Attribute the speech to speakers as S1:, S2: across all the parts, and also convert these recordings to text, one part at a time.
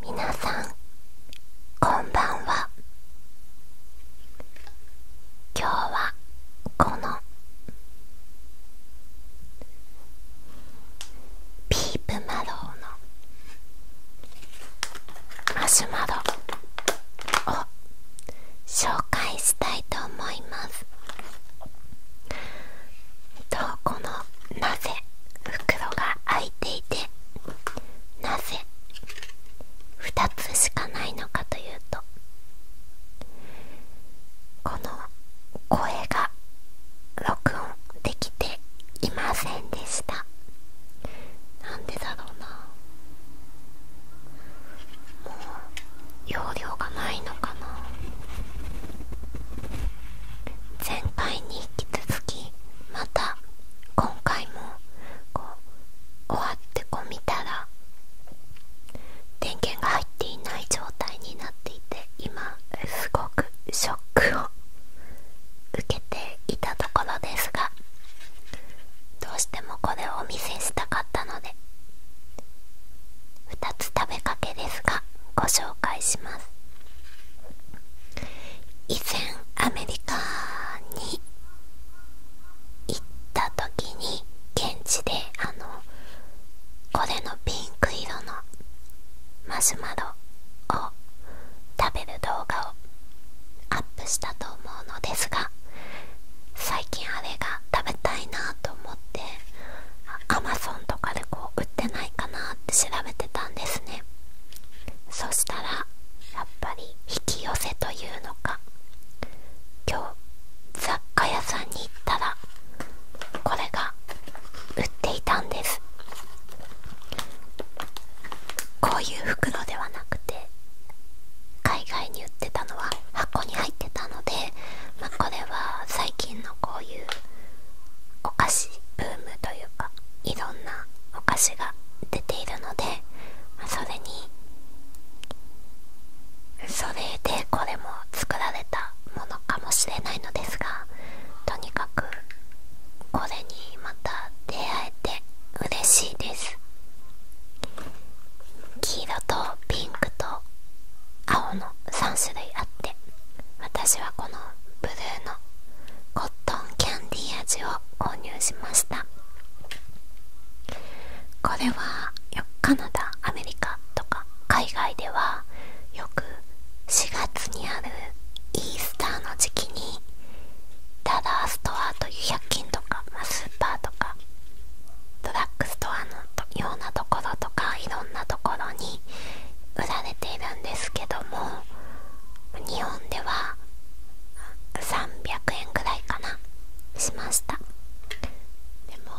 S1: みなさんこんばんは今日はこのピープマローのマシュマロを紹介したいと思いますとこのなぜ袋が開いていてなぜ2つしかないのかというとこの声が録音できていませんでしたなんでだろうなもう容量がないのかな前回に引き続きまた今回もこう終わってこ見たら電源が入っていない状態になっていて今すごくショックを受けていたところですがどうしてもこれをお見せしたかったので2つ食べかけですがご紹介します以前アメリカに行った時に現地であのこれのピンク色のマシュマロを食べる動画をアップしたと思うのですが最近あれが食べたいなと思ってアマゾンとかでこう売ってないかなって調べてたんですねそしたらやっぱり引き寄せというのか今日雑貨屋さんに行ったらこれが売っていたんですこういう袋ではなくて海外に売ってたのは箱に入ってたので、まあ、これは最近のこういうお菓子ブームというかいろんなお菓子が出ているのでそれにそれでこれも作られたものかもしれないのですがとにかくこれにまた出会えて嬉しいです黄色とピンクと青の3種類あって私はこのブルーのコットンキャンディー味を購入しましたこれはカナダアメリカとか海外ではよく4月にあるイースターの時期にダダーストアという100均とか、まスーパーとかドラッグストアのようなところとかいろんなところに売られているんですけども日本では300円ぐらいかなしましたでも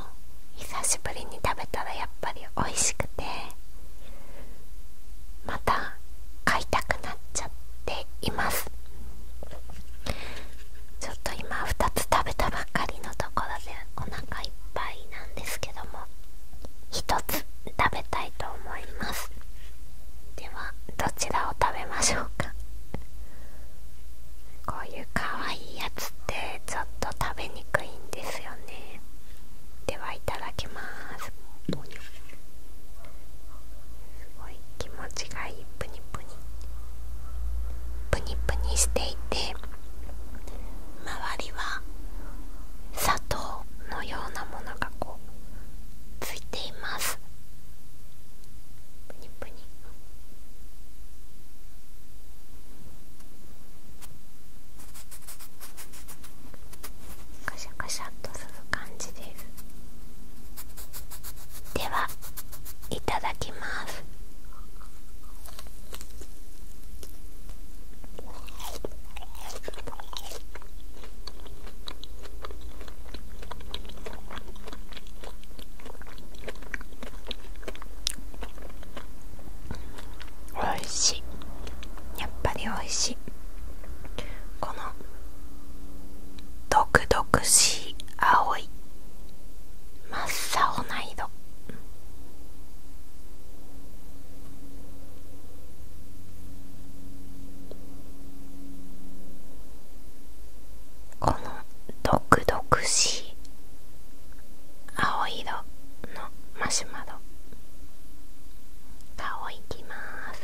S1: 久しぶりに食べたらやっぱり美味しくてまた買いたくなっちゃっていますちょっと今2つ食べたばっかりのところでお腹いっぱいなんですけども1つ食べたいと思いますではどちらを食べましょうかこういうかわいいやつってちょっと食べにくいんですよねではいただきますすごい気持ちがいいプニプニプニプニしていて周りは砂糖のようなものがこうついていますプニプニカシャカシャっとする感じですではいただきますおいしいやっぱりおいしいこの毒々しい青い真っ青な色この毒々しい青色のマシュマロ顔いきます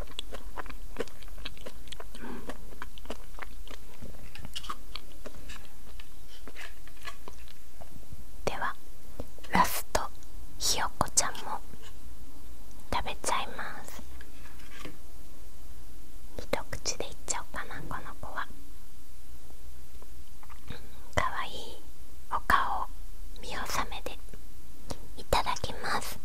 S1: ではラストひよこちゃんも食べちゃいます一口でいっちゃおうかなこの子はかわいいお顔見納めでいただきます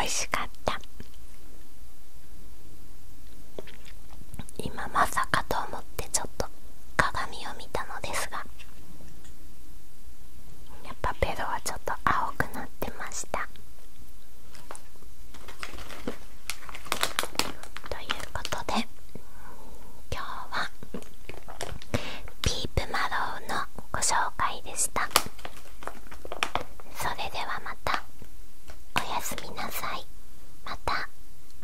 S1: 美味しかった今まさかと思ってちょっと鏡を見たのですがやっぱベロはちょっと青くなってましたということで今日はピープマロウのご紹介でしたそれではまたおやすみなさいまた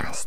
S1: 明日